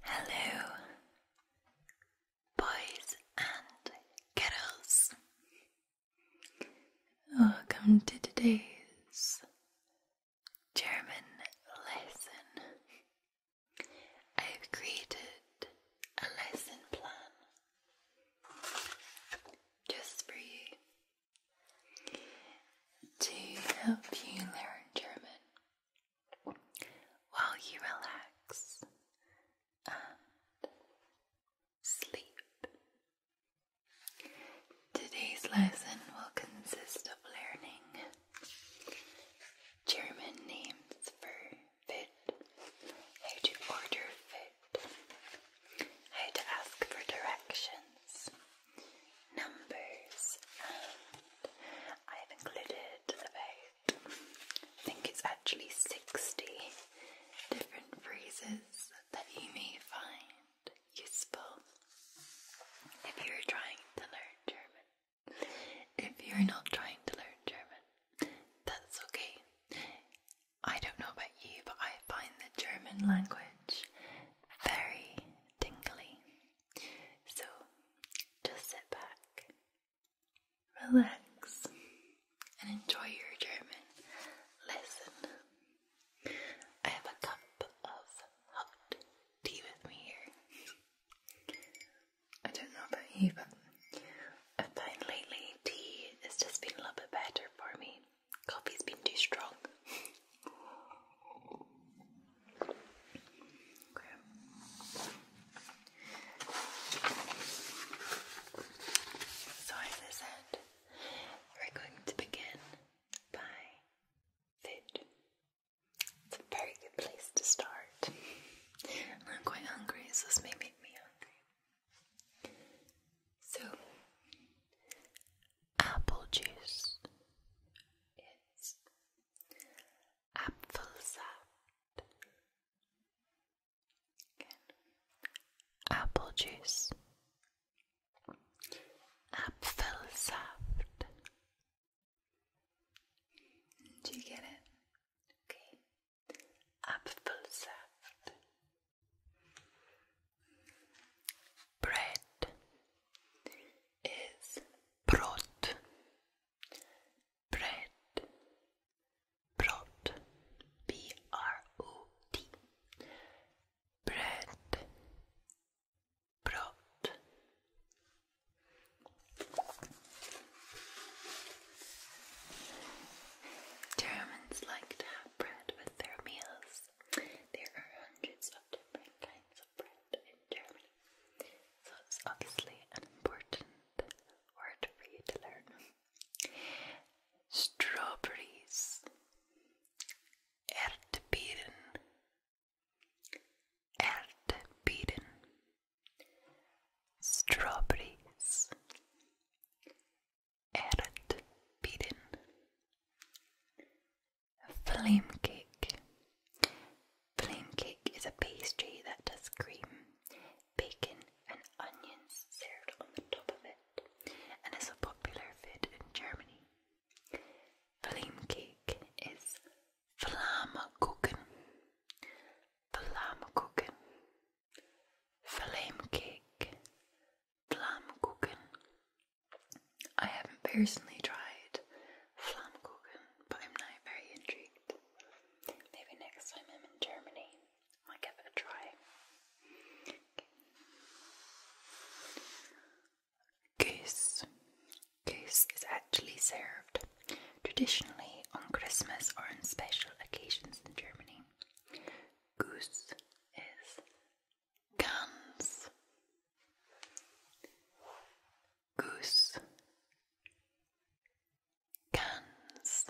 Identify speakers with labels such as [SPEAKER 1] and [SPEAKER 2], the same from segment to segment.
[SPEAKER 1] Hello, boys and girls. Welcome to today's German lesson. I've created a lesson plan just for you to help you learn German while you relax and sleep. Today's lesson will consist of learning German names for food, how to order food, how to ask for directions, numbers, and I've included about, I think it's actually 60 different phrases that you may find useful if you're trying to learn German. If you're not trying to learn German, that's okay. I don't know about you, but I find the German language very tingly. So just sit back, relax, and enjoy your German lesson. I have a cup of hot tea with me here. I don't know about you, but I find lately tea has just been a little bit better for me. Coffee's been too strong. So, as I said, we're going to begin by food. It's a very good place to start. I'm quite hungry, so this may make me hungry. So, apple juice. It's Apfelsaft. Apple juice. Apfelsaft. Do you get it? Okay. Apfelsaft. Bread is bread, bread, brot, b r o t, bread, brot. Germans like to have bread with their meals. There are hundreds of different kinds of bread in Germany, so it's obviously an important word for you to learn. Strawberries, Erdbeeren, Erdbeeren, strawberries, Erdbeeren, Flame cake. Flame cake is a pastry that has cream, bacon, and onions served on the top of it and is a popular food in Germany. Flame cake is Flammkuchen. Flammkuchen. Flame cake. Flammkuchen. I haven't personally tried Flammkuchen, but I'm now very intrigued. Maybe next time I'm in Germany, I will give it a try. Goose. Goose is actually served traditionally on Christmas or on special occasions in Germany. Goose is Gans Goose Gans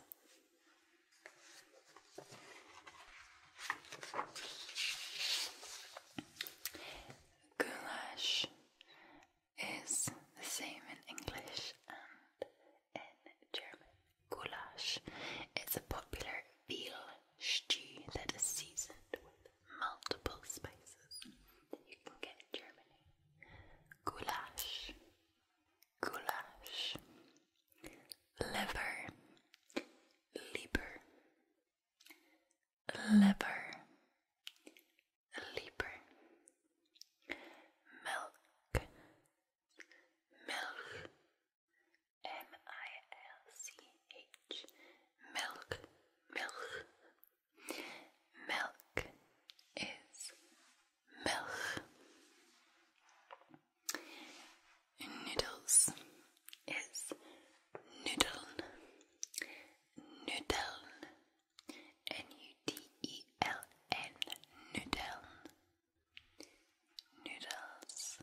[SPEAKER 1] Goulash is the same in English and in German. Goulash is a popular veal stew that is seasoned with multiple spices that you can get in Germany. Goulash, goulash, liver, lieber, liver, lieber, milk, milk, M I L C H milk, milk. Milk is milk. Noodles is noodle. Noodle. N-U-D-E-L-N. Noodle. Noodles.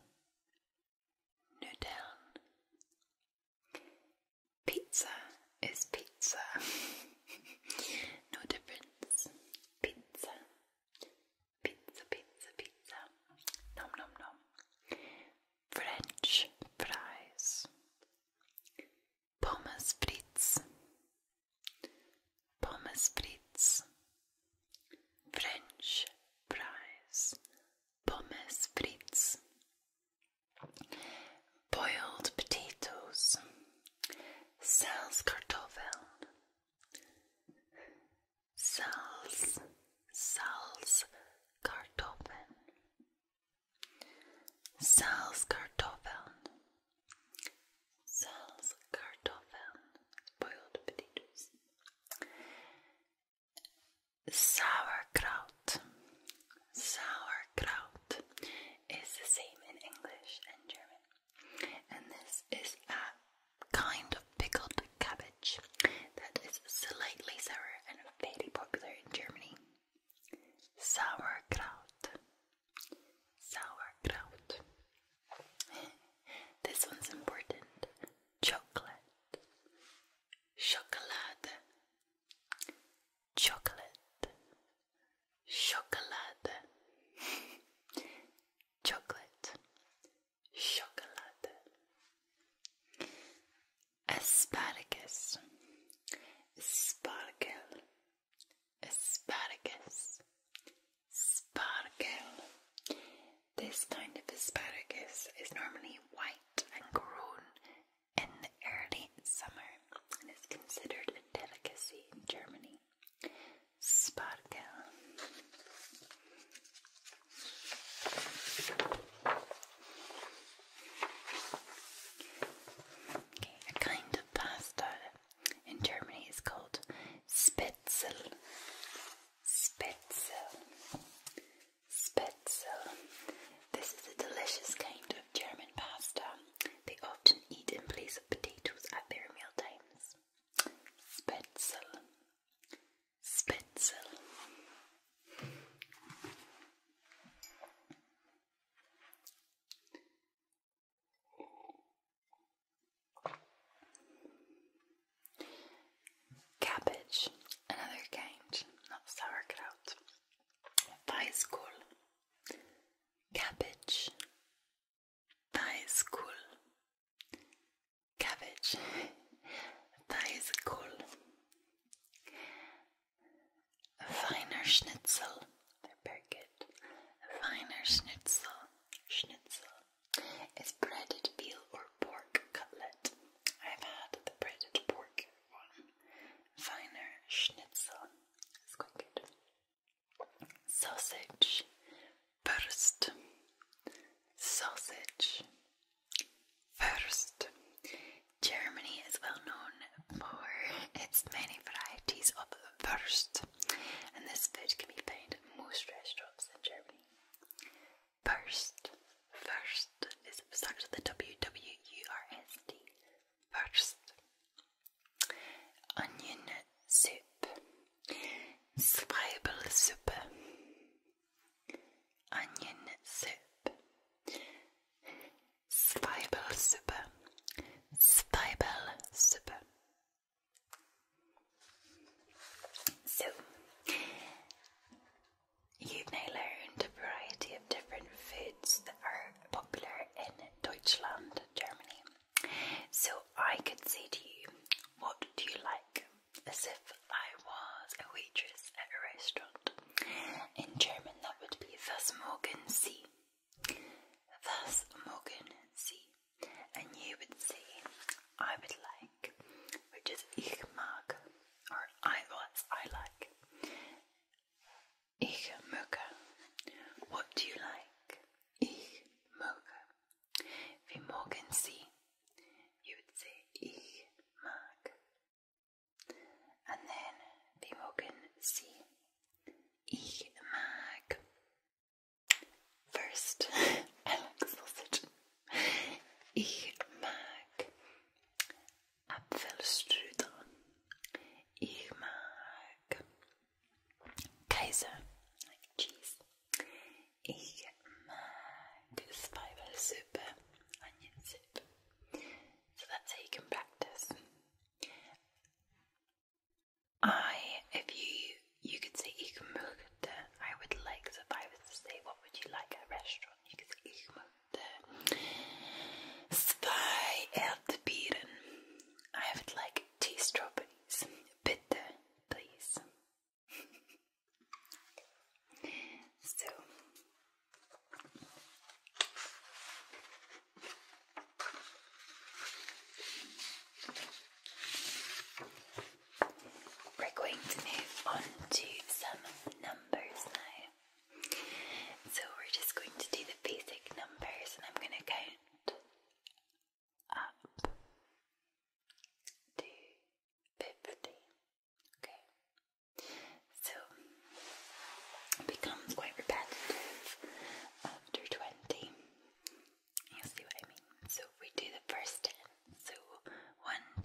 [SPEAKER 1] Noodle. Pizza is pizza. no difference. Pizza. Pizza, pizza, pizza. Nom, nom, nom. French fries. Pommes frites. Pommes frites. French fries pommes frites, boiled potatoes, salzkartoffeln, kartoffel, salzkartoffeln, salzkartoffeln, salzkartoffeln, boiled potatoes. Sauerkraut. Sauerkraut is the same in English and German. And this is a kind of pickled cabbage that is slightly sour and very popular in Germany. Sauerkraut. Sauerkraut. This one's important. Chocolate chocolate, chocolate, chocolate, chocolate, asparagus, sparkle, asparagus, sparkle. This kind of asparagus is normally white and grown in the early summer and is considered a delicacy in Germany. Spargel. Okay, a kind of pasta in Germany is called Spitzel. Spitzel. Spitzel. This is a delicious kind of German pasta. They often eat in place of potatoes at their meal times. Spitzel. Spitzel. Cabbage, another kind of sauerkraut. Weißkohl, cabbage. Weißkohl, cabbage. Weißkohl. Feiner Schnitzel, they're very good. Feiner Schnitzel, Schnitzel is breaded veal or pork cutlet. I've had the breaded pork Finer schnitzel. It's quite good. Sausage. Burst. Sausage. First. Germany is well known for its many varieties of first, and this food can be found at most restaurants in Germany. First, first is starts with the W W U R S T. First, onion soup, soup, onion soup, Zwiebelsuppe, soup. So, you may learn a variety of different foods that are popular in Deutschland, Germany. So I could say to you, What do you like? as if I was a waitress at a restaurant. In German, that would be Was Morgen Sie? Was Morgen Sie? And you would say, I would like, which is Ich mag or I, what I like. Ich möge. What do you like? Ich möge. Wie mogen Sie? You would say ich mag. And then wie mogen Sie? Ich mag. First, I like sausage. Ich mag Apfelstrudel. Ich mag Käse, like cheese. Ich mag So that's how you can practice. I, if you, you could say ich möchte. I would like. So if to say, what would you like at a restaurant? You could say ich möchte. Zwei Erdbeeren. I would like tea strawberries. Bitte, please. so. We're going to move on to some so we're just going to do the basic numbers and I'm going to count up to 50. Okay. So becomes quite repetitive after 20. You'll see what I mean. So we do the first 10. So 1,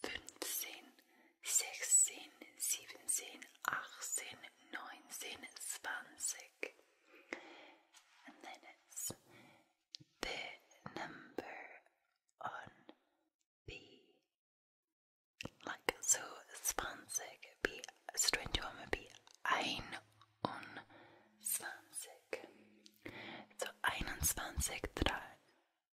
[SPEAKER 1] fünfzehn, sechzehn, siebzehn, achtzehn, nineteen, twenty. And then it's the number on B. Like so, zwanzig, B, strange woman, B, ein und zwanzig. So einundzwanzig, drei.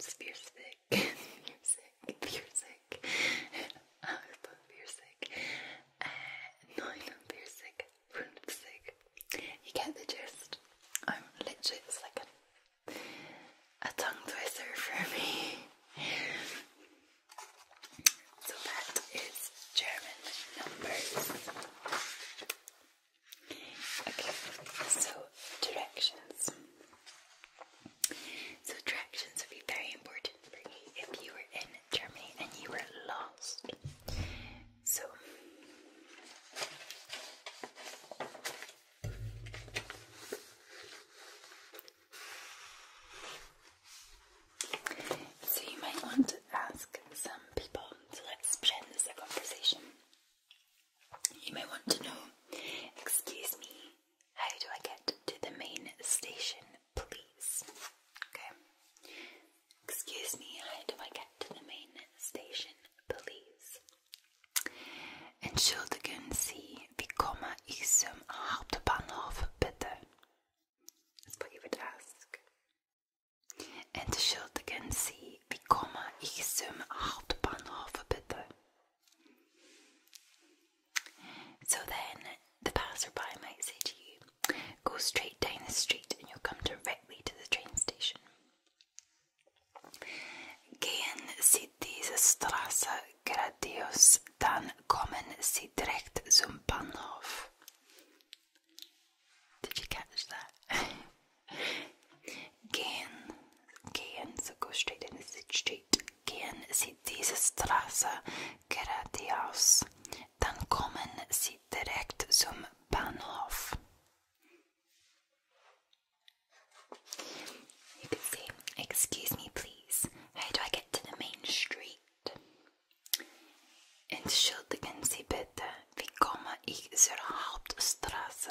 [SPEAKER 1] Spearsick, Spearsick, Spearsick, Alba Spearsick, Nine Spearsick, Runsick. You get the gist. I'm literally, it's like a, a tongue twister for me. So that is German numbers. Okay, so directions. So directions would be very important for you if you were in Germany and you were lost. So So you might want to ask some people. to let's pretend this conversation. You may want to know, excuse me, how do I get to the main station, please? Okay. Excuse me, how do I get to the main station, please? Entschuldigen Sie, wie komme ich zum Hauptbahnhof, bitte? That's what you would ask en de schuldigen Sie, wie komme ich zum Hauptbahnhof bitte? So then, the passerby might say to you, Go straight down the street and you'll come directly to the train station. Gehen Sie diese Straße geradeaus, dann kommen Sie direkt zum Bahnhof. Did you catch that? Gehen, gehen, sogar steht in steht, gehen Sie diese Straße geradeaus, dann kommen Sie direkt zum Bahnhof. You can say, Excuse me, please, how do I get to the main street? Entschuldigen Sie bitte, wie komme ich zur Hauptstraße?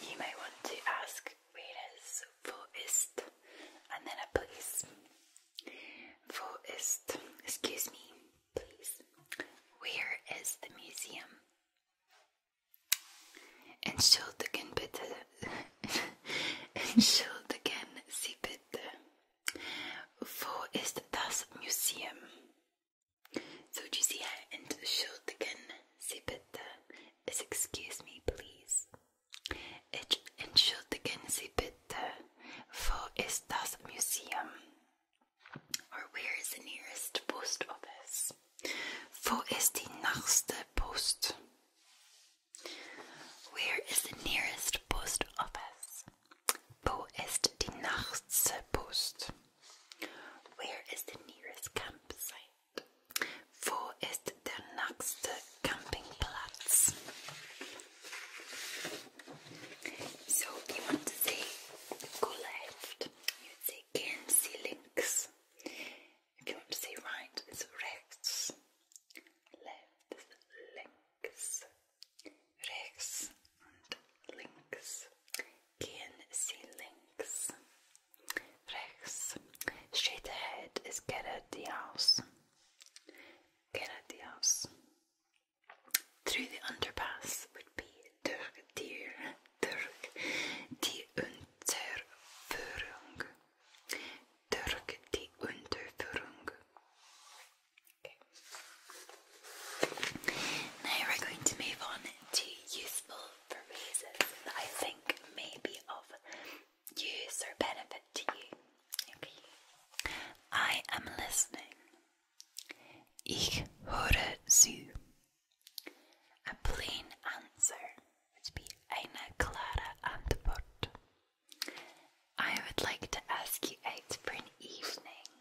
[SPEAKER 1] You may want to ask readers for ist and then please. For ist, excuse me, please. Where is the museum? Entschuldigen bitte. Entschuldigen Sie bitte. Wo ist das Museum? So do you see how into uh, is excuse me please? Ich entschuldigen Sie bitte, wo Museum? Or where is the nearest post office? Wo ist die nächste Post? Where is the nearest post office? Wo ist die nächste Post? Where is the nearest campsite? Wo ist der nächste Campingplatz? So you want to say go left, you say links. If you want to say right, it's rechts. links. Rechts links can see links. Rechts. Straight ahead is Gerardiaus. Gerardiaus. Through the underpass would be Durgdir, Durg, die Unterführung. Durg, die Unterführung. Okay. Now we're going to move on to useful phrases that I think may be of use or benefit to you. I am listening. Ich höre zu. plain answer would be eine klare Antwort. I would like to ask you out for an evening.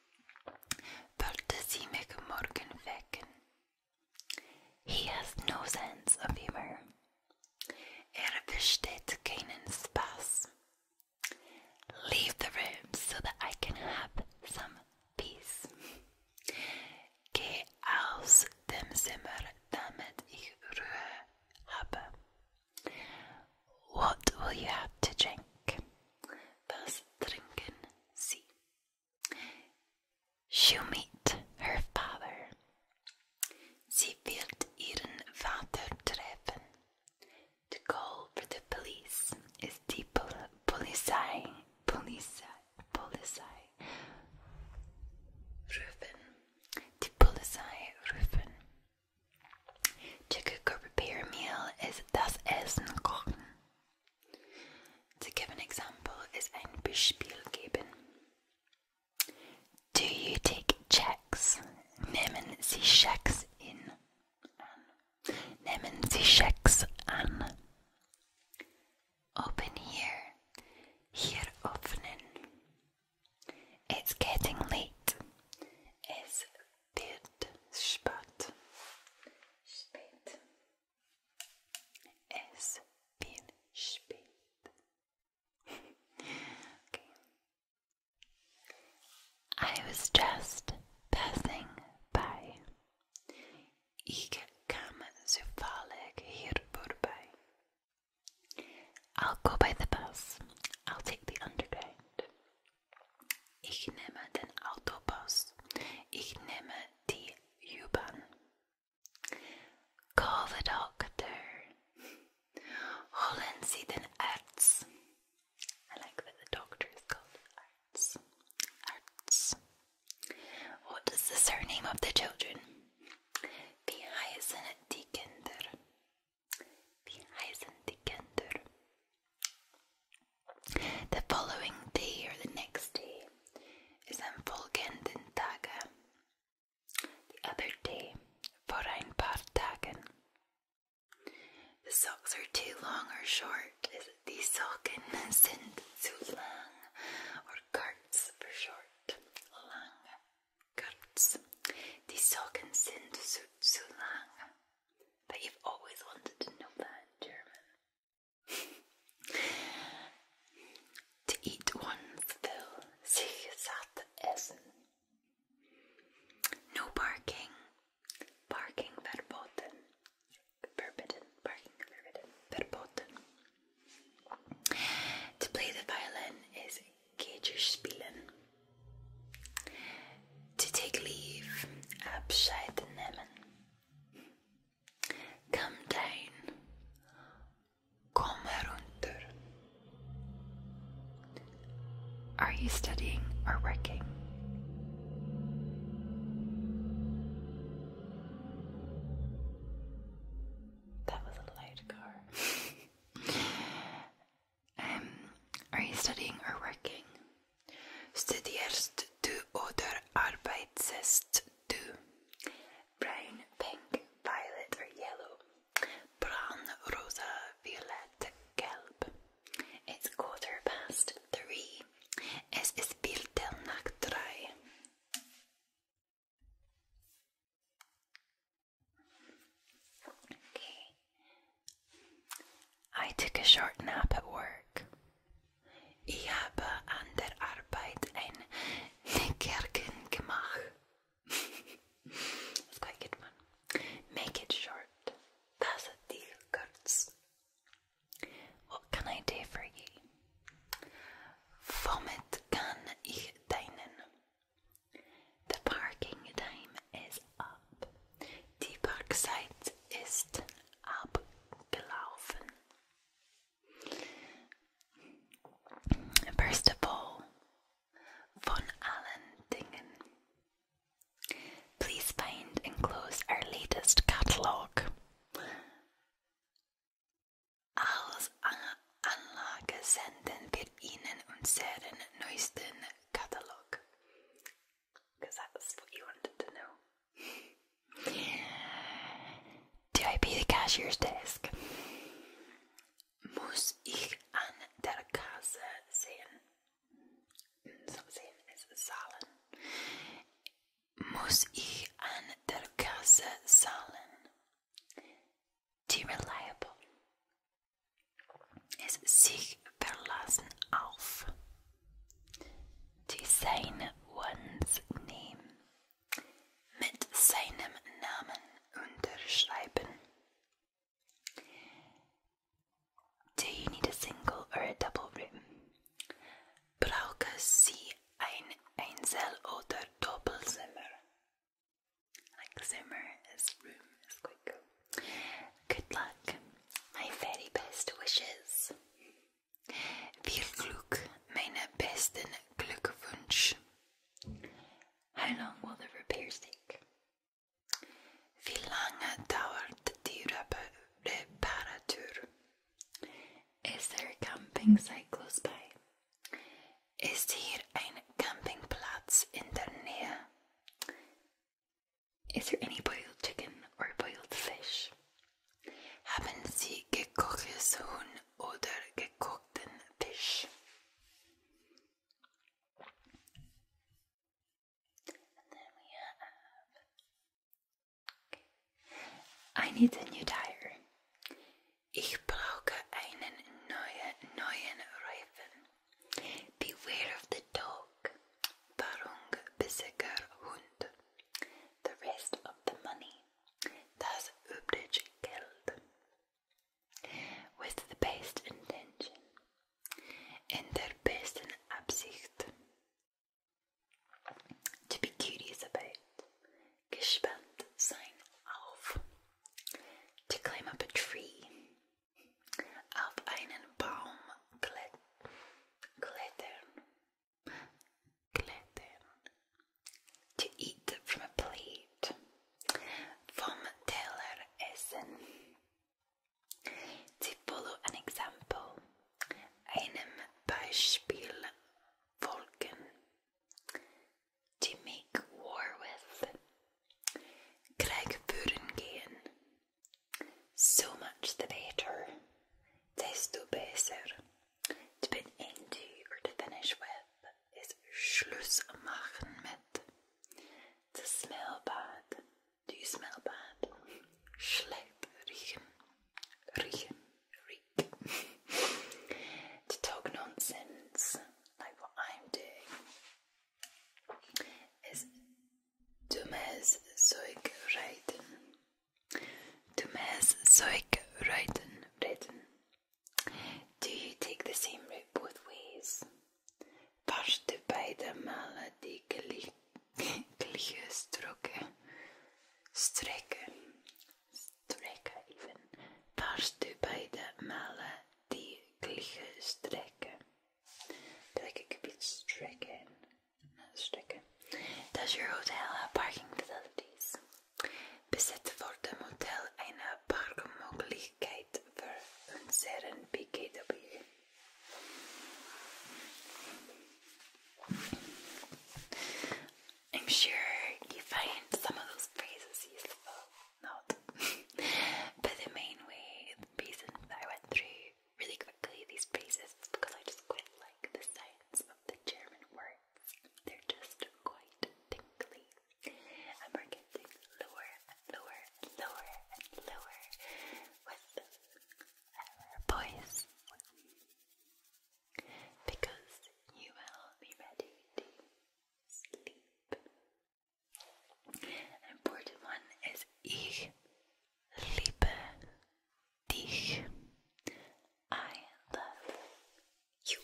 [SPEAKER 1] But Pöltesimic Morgan Vecken. He has no sense of humor. Er versteht keinen Spaß. Leave the room so that I can have some peace. Geh aus dem Zimmer, damit ich Ruhe habe. What will you have to drink? Was trinken Sie? She'll meet her father. Sie wird ihren Vater treffen. To call for the police is die Pol Polizei. Polizei. Polizei. Rufen. Die Polizei rufen. Chicken repair meal is das Essen kochen. To give an example is ein Beispiel geben. Do you take checks? Nehmen Sie Schecks in? An. Nehmen Sie Schecks an. Open here. Hier öffnen. It's getting late. Es wird spät. Spät. Es bin spät. I was just passing by. I'll go by the bus. I'll take the underground. Ich nehme den Autobus. Ich nehme die U-Bahn. Call the doctor. Holen Sie den arts. I like that the doctor is called arts. Arts. What is the surname of the children? Wie heißen die Kinder? Wie heißen die Kinder? The following day or the next day is Volgenden the other day for ein paar Tagen. The socks are too long or short. Is it die Socken sind zu lang or kurz for short? Lang, kurz. Die Socken sind zu, zu lang. But you've always wanted to know that in German. to eat one's fill, sich satt essen. No parking, parking verboten, forbidden, parking forbidden, verboten. To play the violin is Geigerspielen. To take leave, Abscheid nehmen. Come down. Come herunter. Are you studying or working? That was a loud car. um, are you studying or working? Studierst du oder arbeitest Brown, pink, violet or yellow? Brown, rosa, violet, gelb. It's quarter past three. Es ist Viertel nach drei. I took a short nap at work. I have an der Arbeit ein Nickerchen That's quite good one. Make it short. That's a deal, kurz. What can I do for you? Womit kann ich dienen? The parking time is up. Die Rückseite ist abgelaufen. First of all, von allen Dingen. Please find and close our latest catalogue. Als Anlage senden wir Ihnen unseren neuesten Katalog. Because that's what you wanted to know. Do I pay the cashier's desk? Muss ich an der Kasse sehen? Something is zahlen. Muss ich an der Kasse zahlen? Die reliable. Es sich verlassen auf. To sign one's name. Mit seinem Namen unterschreiben. Do you need a single or a double room? Brauche Sie ein Einzel- oder Doppelzimmer? Like Zimmer is room, Good luck. My very best wishes. Viel Glück, meine besten Glückwunsch. How long will the repairs take? Wie lange dauert die Reparatur? Is there a camping site close by? Ist hier ein Campingplatz in der Nähe? Is there any boiled chicken or boiled fish? Haben Sie gekochtes Huhn oder gekochten Fisch? I need a new tire. Ich brauche einen neuen, neuen Reifen. Beware of the dog. Barung Bisiger Hund. The rest of the money, das übrige Geld, with the best intention, in their besten Absicht, to be curious about, gespannt sein auf, to climb up a tree, auf einen Baum klettern, Gluten. To eat from a plate. From a Vomteller essen. To follow an example. Einem Beispiel folgen. To make war with. Krieg führen gehen. So much the better. Desto besser. To put into or to finish with is Schluss machen mit. To smell bad. Do you smell bad? Schlepp riechen. Riechen. Reek. to talk nonsense, like what I'm doing, is dummes Zeug reden. Du mes Zoik Reiten Reiten. Do you take the same route both ways? Varst du beide malen die gelijke stroken? Streken. Streken even. Varst du beide malen die gelijke streken? Like it could does your hotel have parking facilities? Bezit wordt de motel een parkmogelijkheid voor unseren BKW? I'm sure you find some of those phrases useful. Not. but the main way, the reason I went through really quickly these phrases because I just quite like the science of the German words. They're just quite tingly. And we're getting lower and lower and lower and lower with our voice. Because you will be ready to sleep. An important one is ich liebe dich. I love you.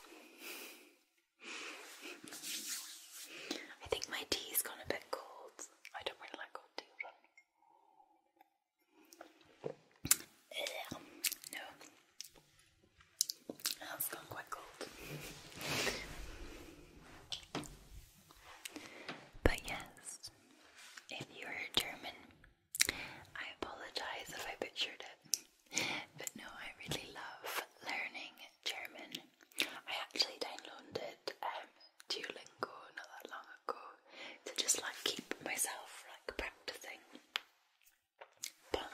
[SPEAKER 1] I think my tea's gone a bit cold. I don't really like cold tea around me. has gone quite cold. But yes, if you're German I apologize if I butchered it, but no, I really love learning German. I actually downloaded um, Duolingo not that long ago to just like keep myself like practicing. But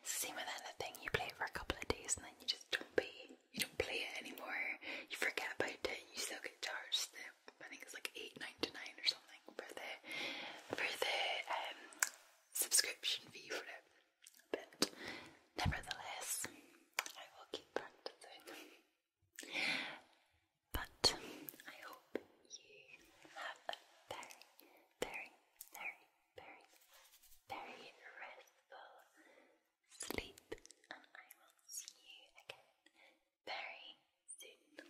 [SPEAKER 1] it's the same with anything, you play it for a couple of days and then you just don't be you don't play it anymore, you forget about it, you still get charged I think it's like eight, nine nine or something for the for the um, subscription fee for it. But nevertheless, I will keep practicing. But I hope you have a very, very, very, very, very restful sleep, and I will see you again very soon.